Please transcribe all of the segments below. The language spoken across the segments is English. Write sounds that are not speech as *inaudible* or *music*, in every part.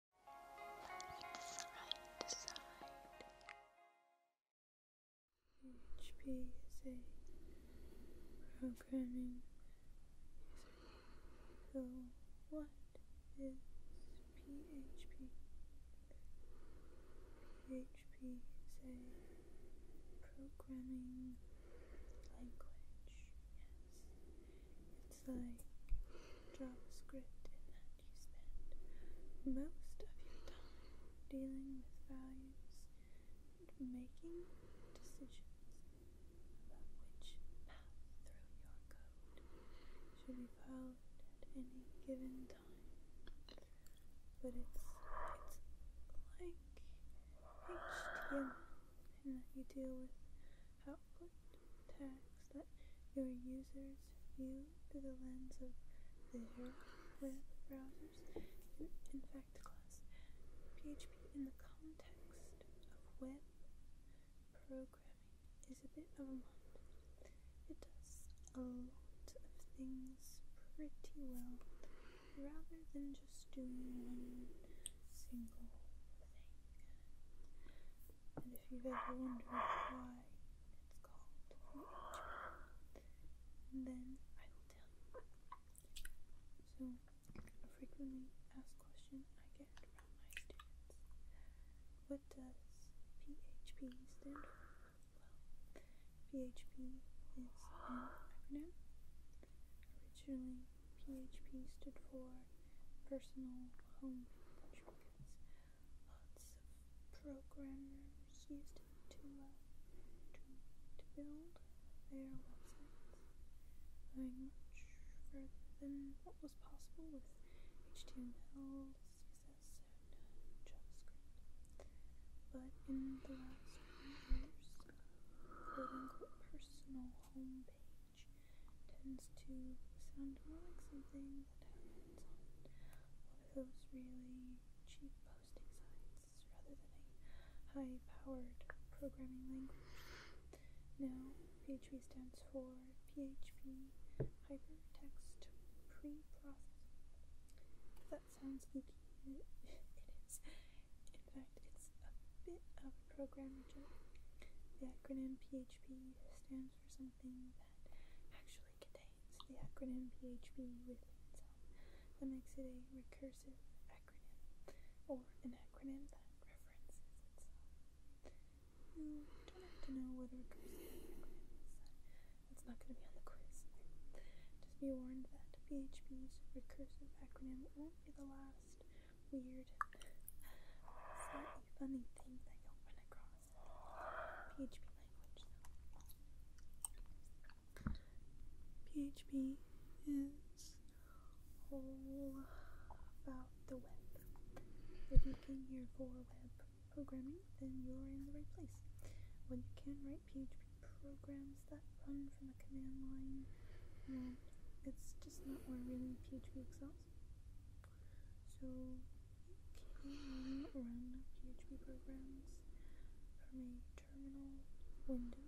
PHP is a programming what is PHP? PHP is a programming language. Yes. It's like JavaScript in that you spend most of your time dealing with values and making decisions about which path through your code should be followed at any given time. But it's it's like HTML in that you deal with output tags that your users view through the lens of their web browsers In fact, class PHP in the context of web programming is a bit of a mod. It does a lot of things pretty well rather than just doing one single thing if you've ever wondered why it's called VH, then I will tell you. So, a frequently asked question I get from my students. What does PHP stand for? Well, PHP is an acronym. Originally PHP stood for personal home shortcuts. Lots of programmers used it uh, to, to, build their websites, going much further than what was possible with HTML, CSS, and uh, JavaScript. But in the last years, quote unquote personal home page tends to sound more like something that happens on one of those really cheap posting sites rather than a high powered programming language. Now, PHP stands for PHP Hypertext Preprocessing. that sounds geeky, *laughs* it is. In fact, it's a bit of Program The acronym PHP stands for something that actually contains the acronym PHP within itself. That makes it a recursive acronym, or an acronym that references itself. You don't have to know what a recursive acronym is. That's not going to be on the quiz. Just be warned that PHP's recursive acronym won't be the last weird, slightly funny thing that you'll run across in PHP language. So, PHP is all about the web. If you came here for web programming, then you're in the right place. When you can write PHP programs that run from a command line, well, it's just not where really PHP excels else. So can run PHP programs from a terminal window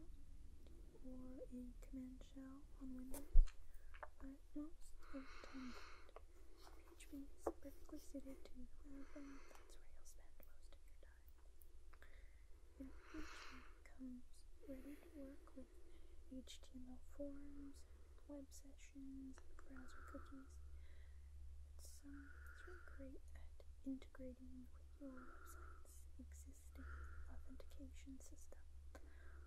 or a command shell on Windows, but most of the time PHP is perfectly suited to the web and that's where you'll spend most of your time. PHP comes ready work with HTML forms, web sessions, browser cookies. Um, it's, really great at integrating with your website's existing authentication system.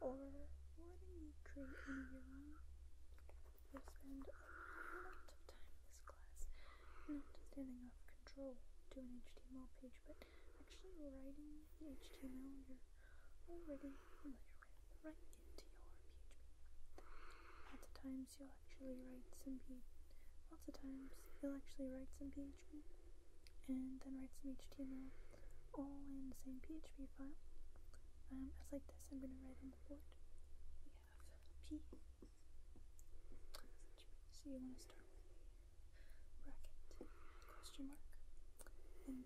Or letting you create your own. We'll spend a lot of time in this class not handing off control to an HTML page, but actually writing the HTML you're already familiar with right into your PHP. Lots of times you'll actually write some P lots of times you'll actually write some PHP and then write some HTML all in the same PHP file. Um, as like this, I'm going to write in the board. We have P. So you want to start with a bracket, question mark, and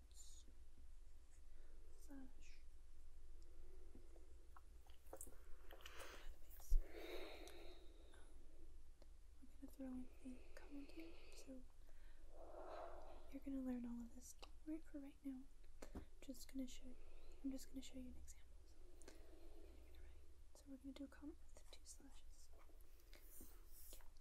massage. i gonna throw in the cone so you're gonna learn all of this. right for right now. I'm just gonna show you. I'm just gonna show you an example. So, we're gonna do a comp with two slashes.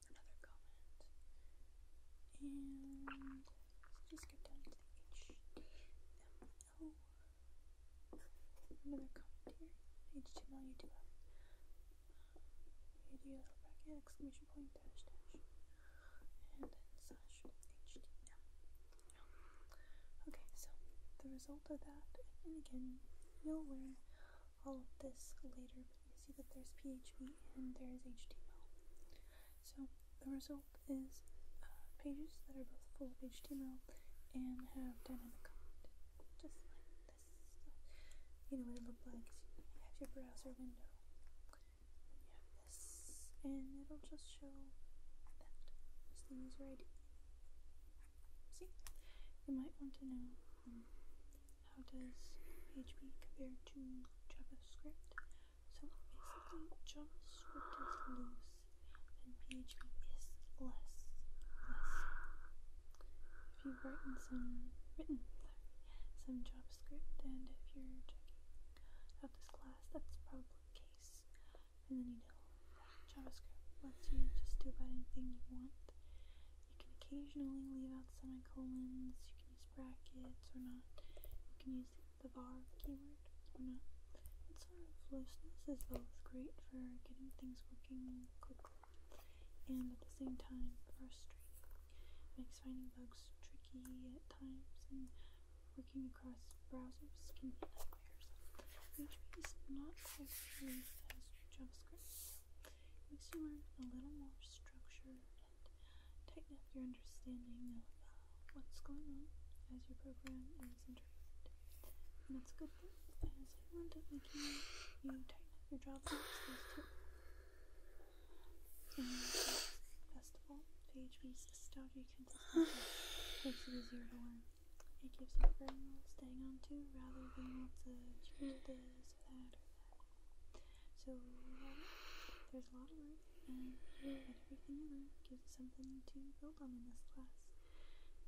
another comment. And just get down to the HTML. Another comment here. HTML you do have you do a little bracket, exclamation point, dash dash. And slash HTML. Okay, so the result of that, and again, nowhere all of this later, but you see that there's PHP and there's HTML. So the result is uh, pages that are both full of HTML and have dynamic content, just like this. So, you know what it looks like. So you have your browser window, and you have this, and it'll just show that. Just the user ID. See, you might want to know um, how does PHP compare to JavaScript. So basically, JavaScript is loose and PHP is less. Less. If you've written some written some JavaScript, and if you're checking out this class, that's probably the case. And then you know JavaScript lets you just do about anything you want. You can occasionally leave out semicolons, you can use brackets or not, you can use the var keyword or not. Its sort of looseness is both great for getting things working quickly and at the same time frustrating. It makes finding bugs tricky at times and working across browsers can be nightmares. PHP is not quite as JavaScript makes you learn a little more structure and tighten up your understanding of uh, what's going on as your program is interrupted. And that's a good thing, as I wound up making you tighten up your job boxes too. And festival, PHP's Stodgy Consistency makes it easier to learn. It gives you a very staying on to rather than lots of changes so there's a lot of work, and everything you learn gives you something to build on in this class.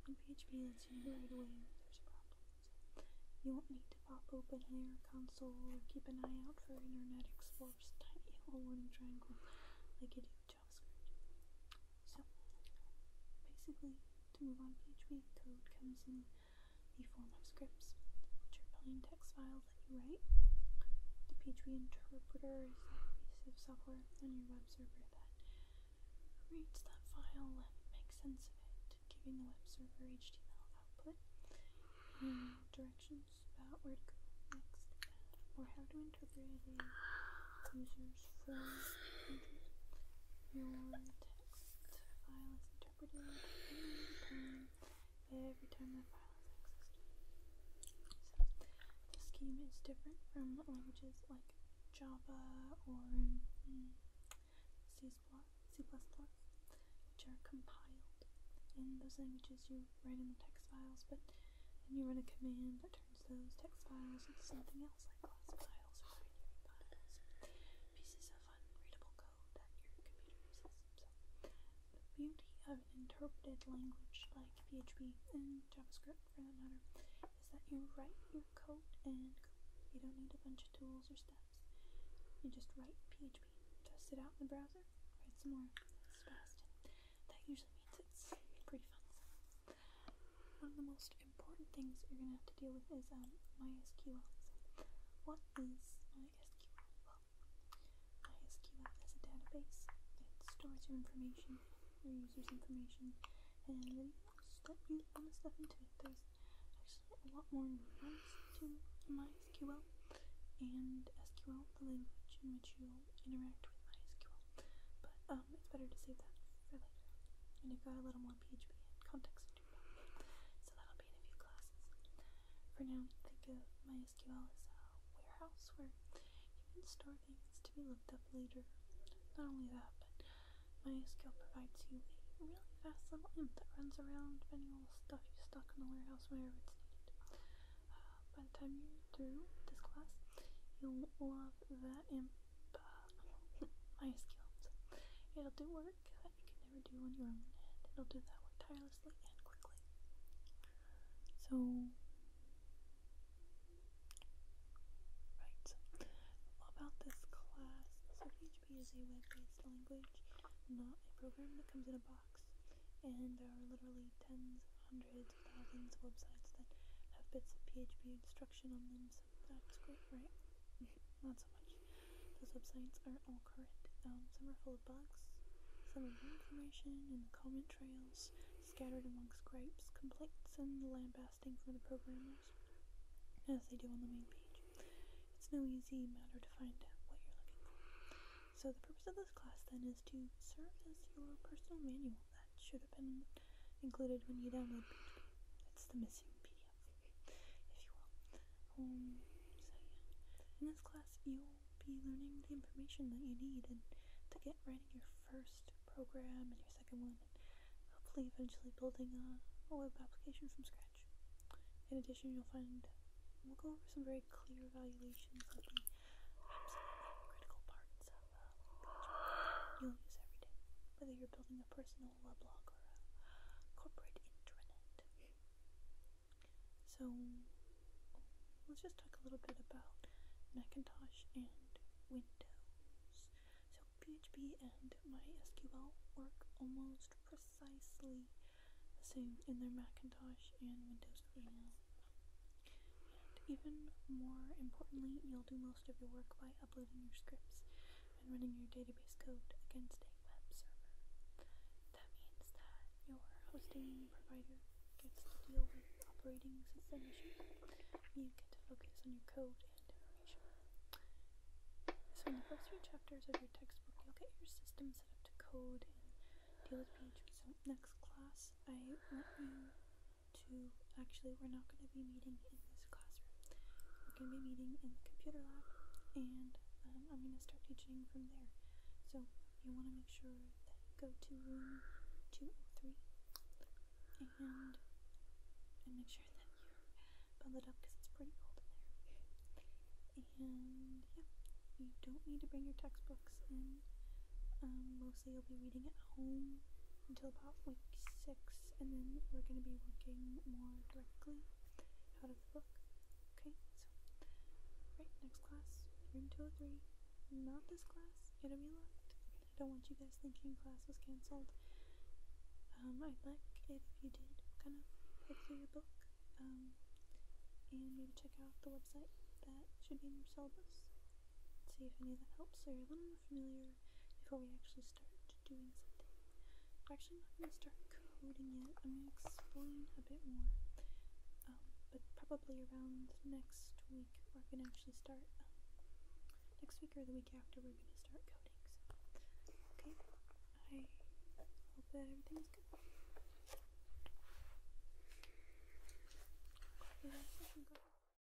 In PHP, that's you know right away if there's problems. You won't need to pop open your console or keep an eye out for Internet Explorer's tiny little warning triangle like you do JavaScript. So basically, to move on, PHP code comes in the form of scripts, which are plain text files that you write. The PHP interpreter is a piece of software on your web server that reads that file and makes sense of it, giving the web server HTML output and directions about where to go next or how to interpret a user's form. Your text the file is interpreted every time the file is accessed. So, the scheme is different from languages like Java or mm, C++, C++, which are compiled. In those languages, you write in the text files, but then you run a command that turns those text files into something emails like glass tiles or binary files, pieces of unreadable code that your computer uses. So, the beauty of an interpreted language like PHP and JavaScript, for that matter, is that you write your code and go. You don't need a bunch of tools or steps. You just write PHP, test it out in the browser, write some more. It's fast. That usually means it's pretty fun. One of the most important things you're going to have to deal with is um, MySQL. So what is MySQL? Well, MySQL is a database that stores your information, your user's information, and then you step you want to step into it. There's actually a lot more nuance to MySQL and SQL, the language in which you'll interact with MySQL. But uh, um, it's better to save that for later. And you've got a little more PHP and So that'll be in a few classes. For now, think of MySQL as a warehouse where you can store things to be looked up later. Not only that, but MySQL provides you a really fast little imp that runs around finding all the stuff you stuck in the warehouse wherever it's needed. Uh, by the time you're through this class, you'll love that imp but *laughs* my skills. It'll do work that you can never do on your own, and it'll do that work tirelessly and quickly. So, right. About this class, PHP is a web-based language, not a program that comes in a box. And there are literally tens, hundreds, thousands of websites that have bits of PHP instruction on them, is that's great, right? *laughs* Not so much. Those websites are all current. Um, some are full of bugs, some of new information and comment trails scattered amongst gripes, complaints, and lambasting from the programmers, as they do on the main page. It's no easy matter to find out what you're looking for. So the purpose of this class then is to serve as your personal manual that should have been in the included when you download PHP. It's the missing PDF, if you will. Um, in this class you'll be learning the information that you need and to get writing your first program and your second one, and hopefully eventually building a, a web application from scratch. In addition, you'll find we'll go over some very clear evaluations of the absolutely critical parts of you'll use every day, whether you're building a personal weblog or a corporate intranet. So let's just talk a little bit about Macintosh and Windows. So PHP and MySQL work almost precisely the same in their Macintosh and Windows VM. And even more importantly, you'll do most of your work by uploading your scripts and running your database code against a web server. That means that your hosting provider gets to deal with operating system issues. You get to focus on your code and So in the first three chapters of your textbook, you'll get your system set up to code and deal with PHP. So next class, I want you to actually, we're not going to be meeting in this classroom. We're going to be meeting in the computer lab, and um, I'm going to start teaching from there. So you want to make sure that you go to room 203 and and make sure that you're up because it's pretty cold in there. And yeah, you don't need to bring your textbooks in. Um, most mostly you'll be reading at home until about week six, and then we're going to be working more directly out of the book. Okay, so, right, next class, room 203. Not this class, it'll be locked. I don't want you guys thinking class was cancelled. Um, I'd like if you did kind of look through your book um, and maybe check out the website that should be in your syllabus see if any of that helps. So you're a little more familiar before we actually start doing something. We're actually not going to start coding yet. I'm going to explain a bit more. Um, but probably around next week we're going to actually start. Um, next week or the week after we're going to start coding. okay. I hope that everything's good.